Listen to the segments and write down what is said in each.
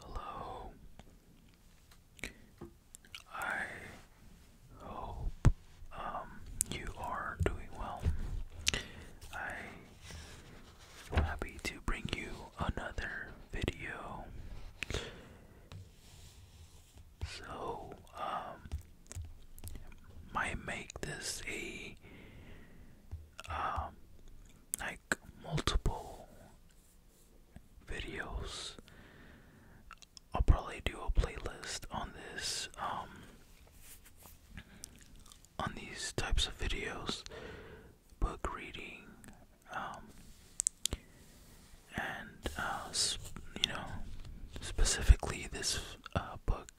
Hello. I hope um, you are doing well. I am happy to bring you another video. So um, might make this a um multiple videos. I'll probably do a playlist on this, um, on these types of videos, book reading, um, and uh, you know, specifically this uh, book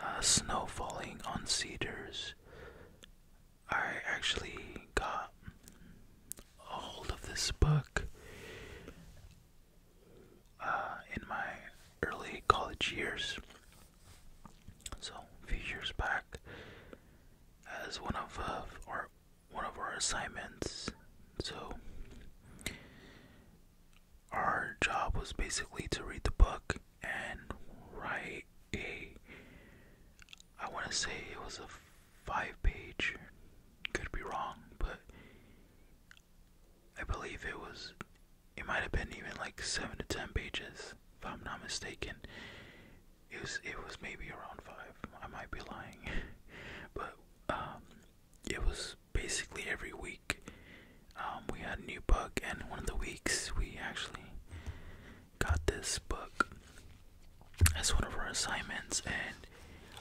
uh, snow falling on cedars. I actually got a hold of this book uh, in my early college years. So few years back, as one of uh, our one of our assignments, so our job was basically to read the book and write a I want to say it was a five page, could be wrong, but I believe it was, it might have been even like seven to ten pages, if I'm not mistaken. It was, it was maybe around five, I might be lying, but um, it was basically every week um, we had a new book, and one of the weeks we actually got this book as one of our assignments, and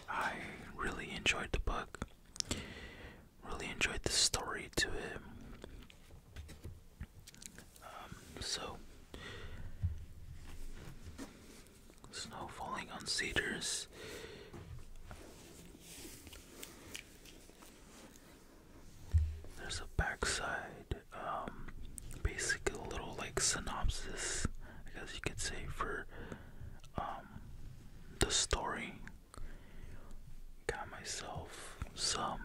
I really enjoyed the book. Really enjoyed the story to it. Um, so, snow falling on cedars. There's a backside, um, basic little like synopsis, I guess you could say, for um, the story. Got myself some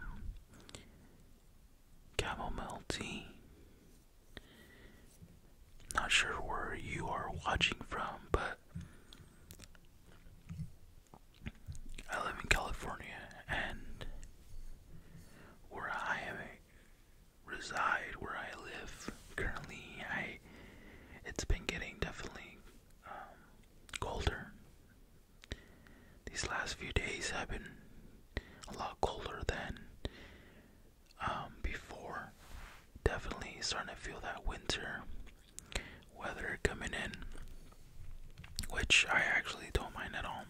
chamomile tea. Not sure where you are watching from, but I live in California, and where I reside, where I live currently, I it's been getting definitely um, colder. These last few days have been a lot colder than um, before. Definitely starting to feel that winter weather coming in, which I actually don't mind at all.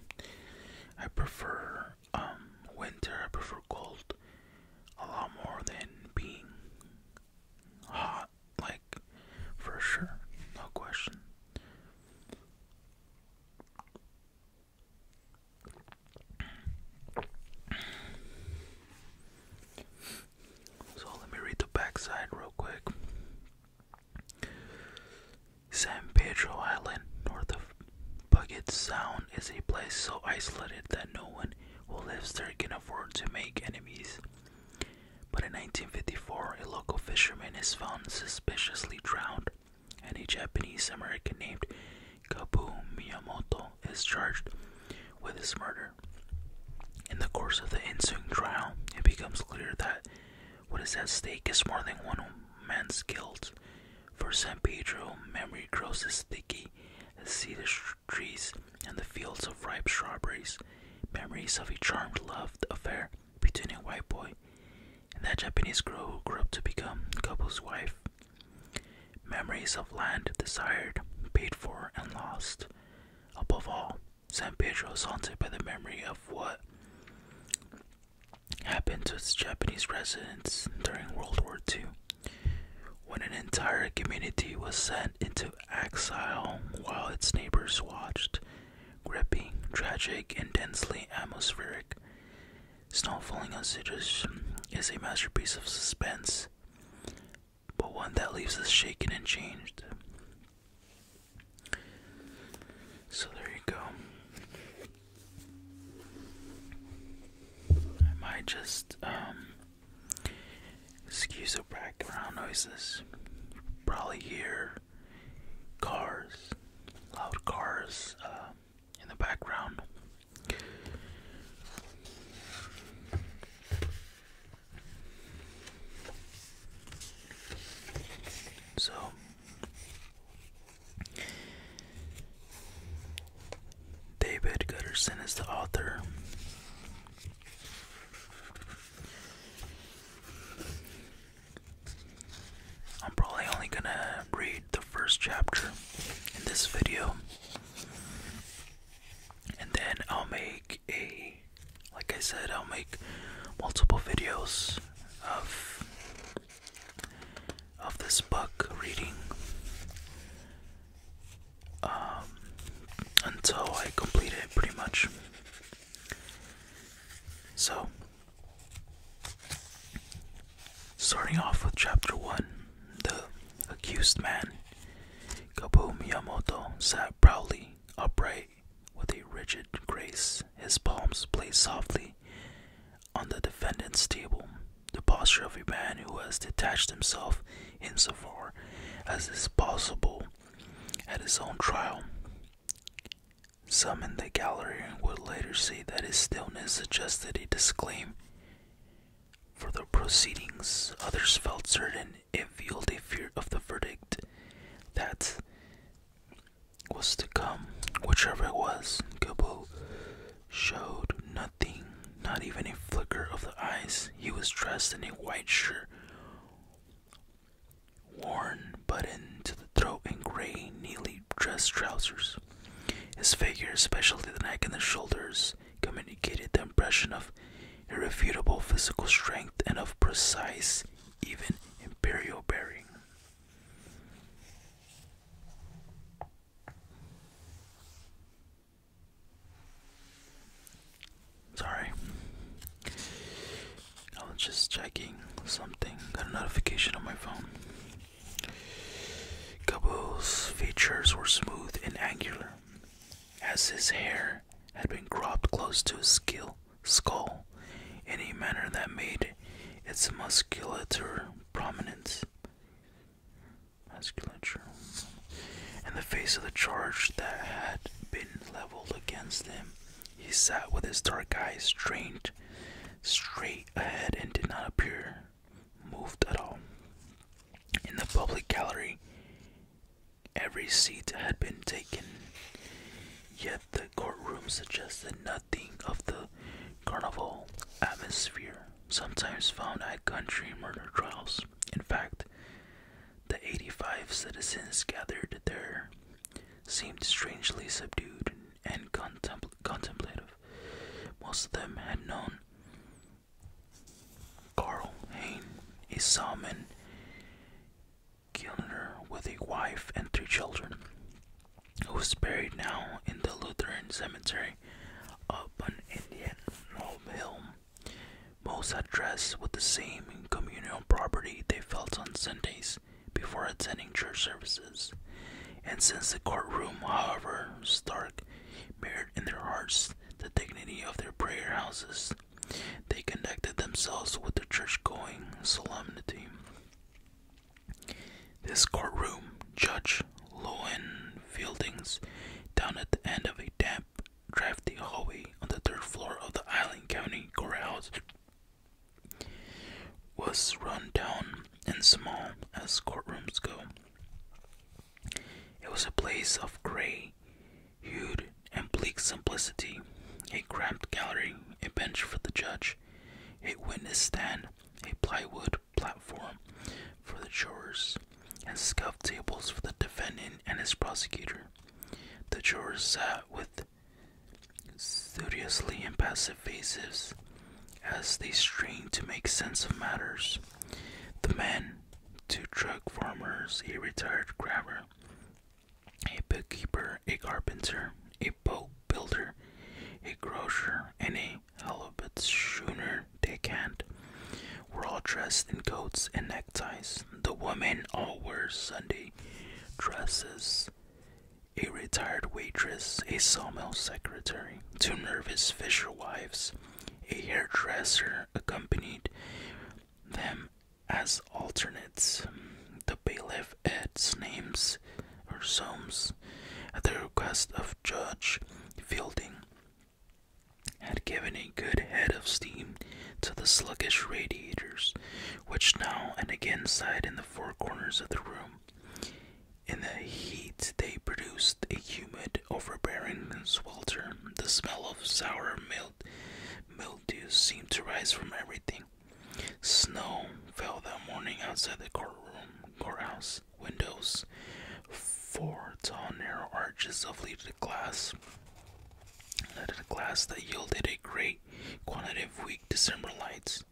I prefer um, winter, I prefer cold a lot more than being hot, like for sure, no question. So let me read the backside real quick. San Pedro Island, north of Puget Sound, is a place so isolated that no one who lives there can afford to make enemies. But in 1954, a local fisherman is found suspiciously drowned, and a Japanese American named Kabu Miyamoto is charged with his murder. In the course of the ensuing trial, it becomes clear that what is at stake is more than one man's guilt. For San Pedro, memory grows as sticky as cedar trees and the fields of ripe strawberries, memories of a charmed love affair between a white boy and that Japanese girl who grew up to become couple's wife. Memories of land desired, paid for, and lost. Above all, San Pedro is haunted by the memory of what happened to its Japanese residents during World War II, when an entire community was sent into exile while its neighbors watched. Gripping, tragic, intensely atmospheric, Snow Falling on Citrus is a masterpiece of suspense, but one that leaves us shaken and changed. So there you go. I might just um, excuse the background noises. You probably hear cars, loud cars uh, in the background. So David Gutterson is the author. I'm probably only gonna read the first chapter in this video, and then I'll make a like I said, I'll make multiple videos of of this book reading um, until I complete it pretty much. So starting off with chapter one, the accused man, Kaboom Miyamoto sat proudly upright with a rigid grace. His palms placed softly on the defendant's table, the posture of a man who has detached himself insofar as is possible at his own trial. Some in the gallery would later say that his stillness suggested a disclaim for the proceedings. Others felt certain and it fueled fear of the verdict that was to come, whichever it was. Gabo showed nothing, not even a flicker of the eyes. He was dressed in a white shirt, worn buttoned to the throat, and gray, neatly dressed trousers. His figure, especially the neck and the shoulders, communicated the impression of irrefutable physical strength, and of precise, even imperial bearing. Sorry, I was just checking something. Got a notification on my phone. Gabo's features were smooth and angular, as his hair had been cropped close to his skull in a manner that made its musculature prominent. Musculature. In the face of the charge that had been leveled against him, he sat with his dark eyes strained straight ahead and did not appear moved at all. In the public gallery, Every seat had been taken, yet the courtroom suggested nothing of the carnival atmosphere sometimes found at country murder trials. In fact, the 85 citizens gathered there seemed strangely subdued and contemplative. Most of them had known Carl Hain, a salmon Gilner with a wife and three children, who was buried now in the Lutheran cemetery up an Indian Hill. Most had dressed with the same communal property they felt on Sundays before attending church services, and since the courtroom, however stark, mirrored in their hearts the dignity of their prayer houses, they connected themselves with the church going solemnity. This courtroom, Judge Lowen down at the end of a damp, drafty hallway on the third floor of the Island County Courthouse, was run down and small as courtrooms go. It was a place of gray Hued and bleak simplicity, a cramped gallery, a bench for the judge, a witness stand, a plywood platform for the jurors, and scuffed tables for the defendant and his prosecutor. The jurors sat with studiously impassive faces as they strained to make sense of matters. The men, two truck farmers, a retired grabber, a bookkeeper, a carpenter, a boat builder, a grocer, and a halibut schooner deckhand were all dressed in coats and neckties. The women all wore Sunday dresses. A retired waitress, a sawmill secretary, two nervous fisherwives, a hairdresser accompanied them as alternates. The bailiff adds names or Soames at the request of Judge Fielding had given a good head of steam to the sluggish radiators, which now and again sighed in the four corners of the room. In the heat, they produced a humid, overbearing swelter. The smell of sour milk. Mildew seemed to rise from everything. Snow fell that morning outside the courtroom courthouse windows. Four tall narrow arches of leaded glass leaded glass that yielded a great quantity of weak December lights.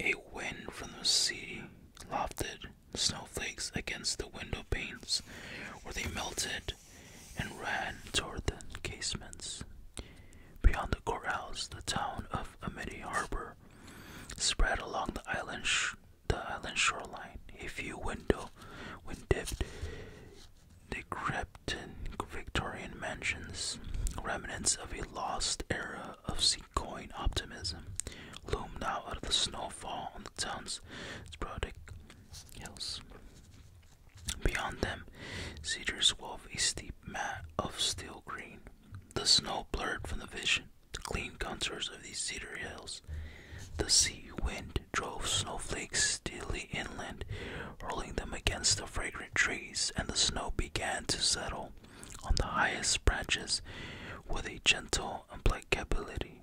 A wind from the sea lofted snowflakes against the window panes where they melted and ran toward the casements. Beyond the corrals, the town of Amity Harbor spread along the island, shoreline. A few window, when dipped, decrepit Victorian mansions, remnants of a lost era of sea-coin optimism, loomed out of the snowfall on the town's sporadic hills. Beyond them, cedars wove a steep mat of steel green. The snow blurred from the vision the clean contours of these cedar hills. The sea wind drove snowflakes steadily inland, hurling them against the fragrant trees, and the snow began to settle on the highest branches with a gentle implacability.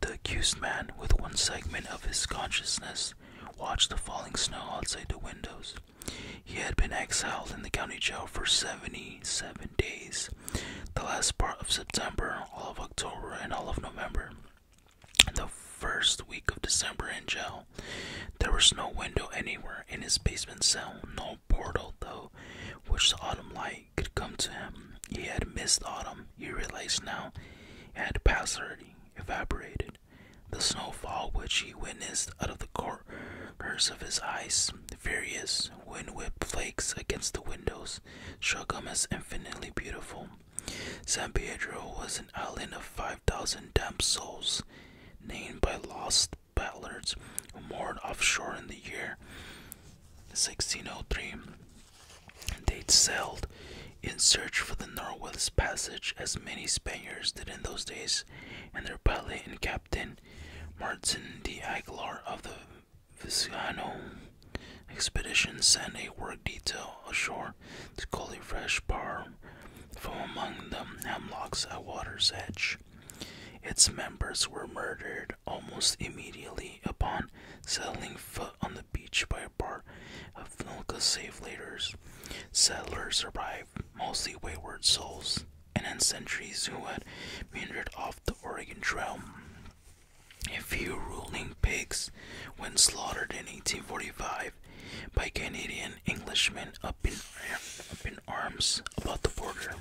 The accused man, with one segment of his consciousness, watched the falling snow outside the windows. He had been exiled in the county jail for 77 days, the last part of September, all of October, and all of November. The first week of December in jail, there was no window anywhere in his basement cell, no portal, though, which the autumn light could come to him. He had missed autumn, he realized now had partially evaporated. The snowfall which he witnessed out of the corners of his eyes, furious wind-whipped flakes against the windows, struck him as infinitely beautiful. San Pedro was an island of five thousand damned souls, named by lost ballards, who moored offshore in the year 1603 they sailed in search for the Northwest Passage, as many Spaniards did in those days, and their pilot and captain, Martin de Aguilar of the Vizcano expedition, sent a work detail ashore to collect fresh par from among the hemlocks at water's edge. Its members were murdered almost immediately upon settling foot on the beach by part of Finlika's safe laters. Settlers arrived, mostly wayward souls, and in sentries who had meandered off the Oregon Trail. A few ruling pigs went slaughtered in 1845 by Canadian Englishmen up in, up in arms about the border.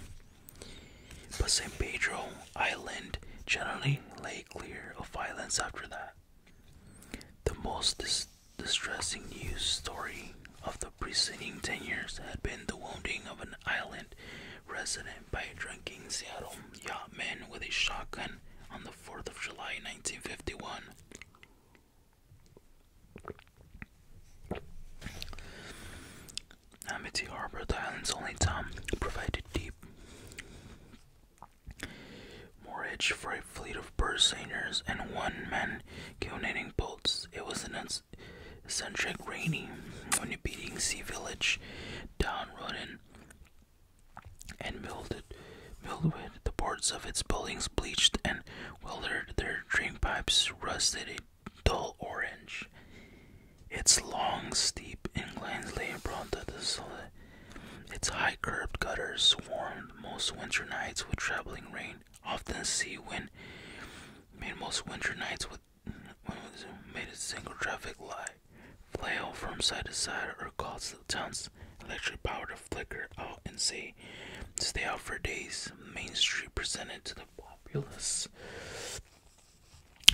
But San Pedro Island generally lay clear of violence after that. The most distressing news story of the preceding 10 years had been the wounding of an island resident by a drunken Seattle yachtman with a shotgun on the 4th of July 1951. Amity Harbor, island's only town, provided deep Moorage for a fleet of bursairs and one man cannonading boats. It was an eccentric rainy, beating sea village down Rodden and mildewed, mildewed the boards of its buildings bleached and wildered their drain pipes rusted a dull orange. Its long, steep inclines lay prone to the solid. Its high curved gutters swarmed most winter nights with traveling rain, often sea wind. Made most winter nights with made a single traffic light flail from side to side or cause the town's electric power to flicker out and say stay out for days. Main Street presented to the populace.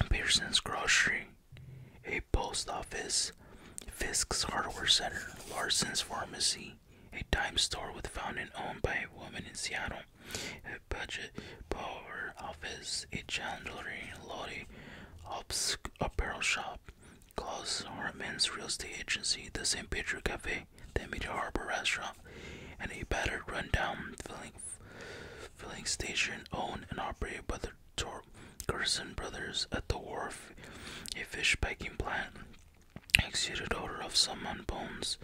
Pearson's grocery a post office, Fisk's Hardware Center, Larson's Pharmacy, a dime store with fountain owned by a woman in Seattle, a budget power office, a chandlery lottie, apparel shop, Klaus Men's real estate agency, the St. Peter Cafe, the Mid Harbor Restaurant, and a battered rundown filling filling station owned and operated by the Torp. Carson Brothers at the wharf, a fish packing plant, exuded order of salmon bones,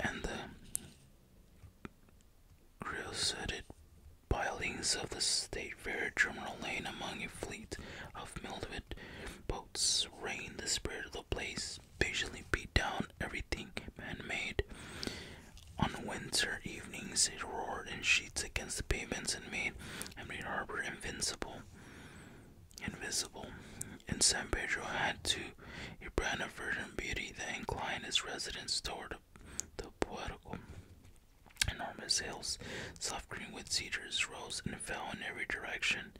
and the creosoted pilings of the State Fair terminal lane among a fleet of mildewed boats rain the spirit of the place, patiently beat down everything man-made on winter evenings it roared in sheets against the pavements and made Emery Harbor invincible. Invisible. And San Pedro had too a brand of virgin beauty that inclined its residents toward the poetical. Enormous hills, soft green with cedars, rose and fell in every direction.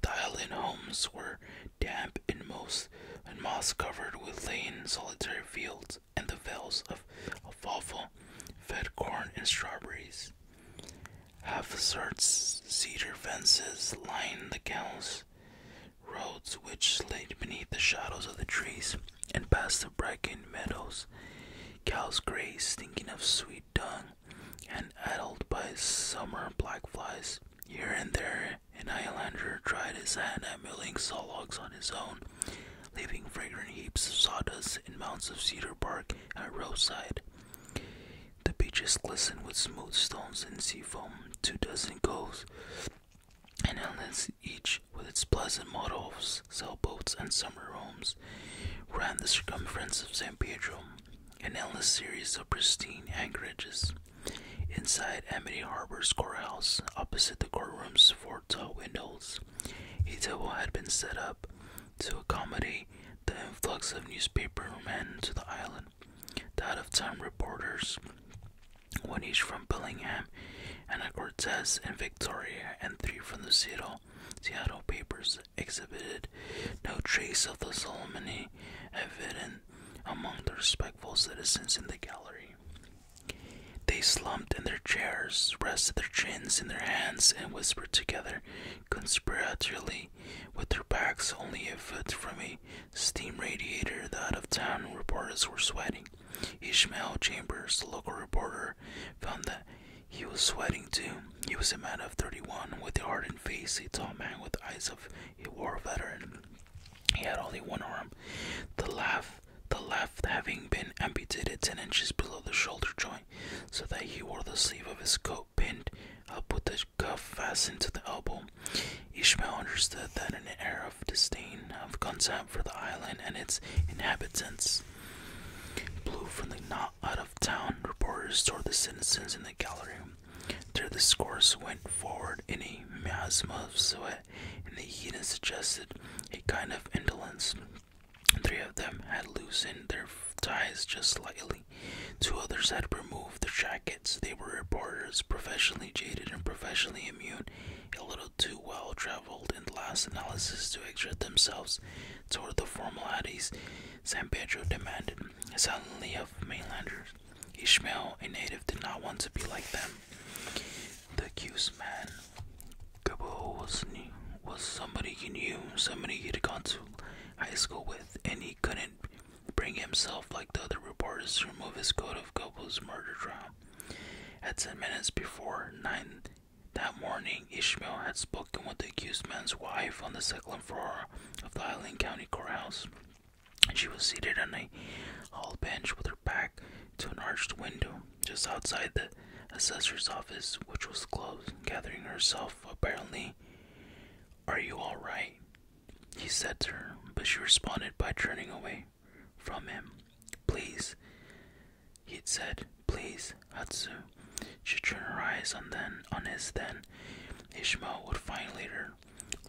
The island homes were damp and moss, and moss covered with lay in solitary fields and the vales of alfalfa fed corn and strawberries. Half asserts cedar fences lined the cows, roads which laid beneath the shadows of the trees and past the brackened meadows. Cows graze, stinking of sweet dung, and addled by summer black flies. Here and there, an islander tried his hand at milling saw on his own leaving fragrant heaps of sawdust and mounds of cedar bark at our roadside. The beaches glisten with smooth stones and sea foam, two dozen coves, and islands each with its pleasant model of sailboats and summer homes, ran the circumference of San Pedro, an endless series of pristine anchorages. Inside Amity Harbor's courthouse, opposite the courtrooms for tall windows. A table had been set up to accommodate the influx of newspapermen to the island, the out of town reporters, one each from Bellingham, Ana Cortez and Victoria, and three from the Seattle, Seattle papers exhibited no trace of the solemnity evident among the respectful citizens in the gallery. They slumped in their chairs, rested their chins in their hands, and whispered together conspiratorily, with their backs only a foot from a steam radiator. The out of town reporters were sweating. Ishmael Chambers, the local reporter, found that he was sweating too. He was a man of 31 with a hardened face, a tall man with eyes of a war veteran. He had only one arm, the left, the left having been amputated ten inches below the shoulder joint, so that he wore the sleeve of his coat pinned up with the cuff fastened to the elbow. Ishmael understood that an air of disdain, of contempt for the island and its inhabitants, blew from the not out of town reporters toward the citizens in the gallery. Their discourse went forward in a miasma of sweat and the heathen suggested a kind of indolence. Three of them had loosened their ties just slightly. Two others had removed their jackets. They were reporters, professionally jaded and professionally immune, a little too well traveled in last analysis to exert themselves toward the formalities San Pedro demanded silently of mainlanders. Ishmael, a native, did not want to be like them. The accused man, Gabo, was, somebody he knew, somebody he'd gone to high school with, and he couldn't bring himself, like the other reporters, to remove his coat of Gabo's murder trial. At 10 minutes before 9 that morning, Ishmael had spoken with the accused man's wife on the second floor of the Island County Courthouse. She was seated on a hall bench with her back to an arched window just outside the assessor's office, which was closed, gathering herself apparently. Are you all right? He said to her, but she responded by turning away from him. Please, he said, please, Hatsu. She turned her eyes on then on his then. Ishmael would find later,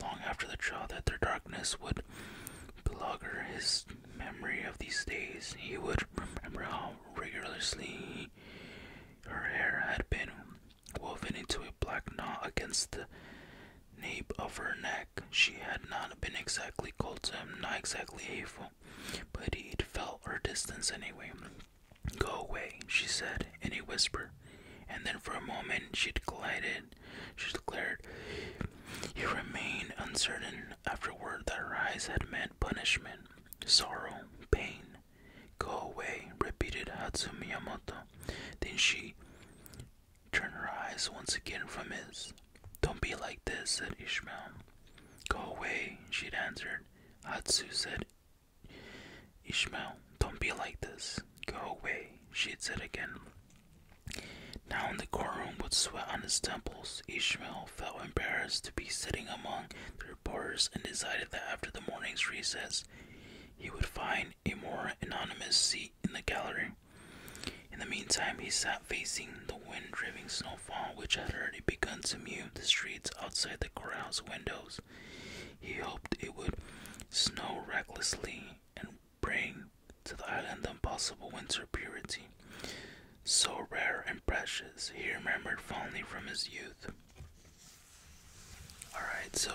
long after the trial, that their darkness would belog His memory of these days, he would remember how rigorously her hair had been woven into a black knot against the nape of her neck. She had not been exactly cold to him, not exactly hateful, but he'd felt her distance anyway. Go away, she said in a whisper, and then for a moment she glided she declared. He remained uncertain afterward that her eyes had meant punishment, sorrow, pain. Go away, repeated Hatsune Miyamoto. Then she turned her eyes once again from his. Don't be like this, said Ishmael. Go away, she had answered. Hatsu said, Ishmael, don't be like this. Go away, she had said again. Now, in the courtroom, with sweat on his temples, Ishmael felt embarrassed to be sitting among the reporters and decided that after the morning's recess, he would find a more anonymous seat in the gallery. In the meantime, he sat facing the wind driven snowfall, which had already begun to mew the streets outside the courthouse windows. He hoped it would snow recklessly and bring to the island the impossible winter purity, so rare and precious, he remembered fondly from his youth. Alright, so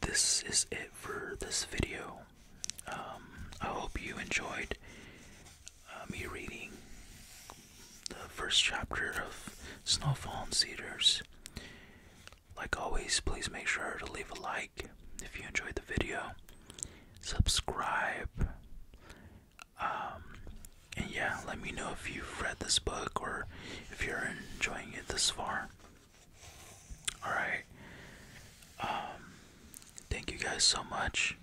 this is it for this video. Um, I hope you enjoyed uh, me reading the first chapter of Snowfall and Cedars. Like always, please make sure to leave a like if you enjoyed the video, subscribe. Um, and yeah, let me know if you've read this book or if you're enjoying it this far. Alright. Um, thank you guys so much.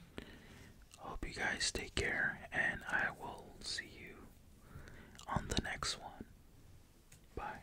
Hope you guys take care, and I will see you on the next one. Bye.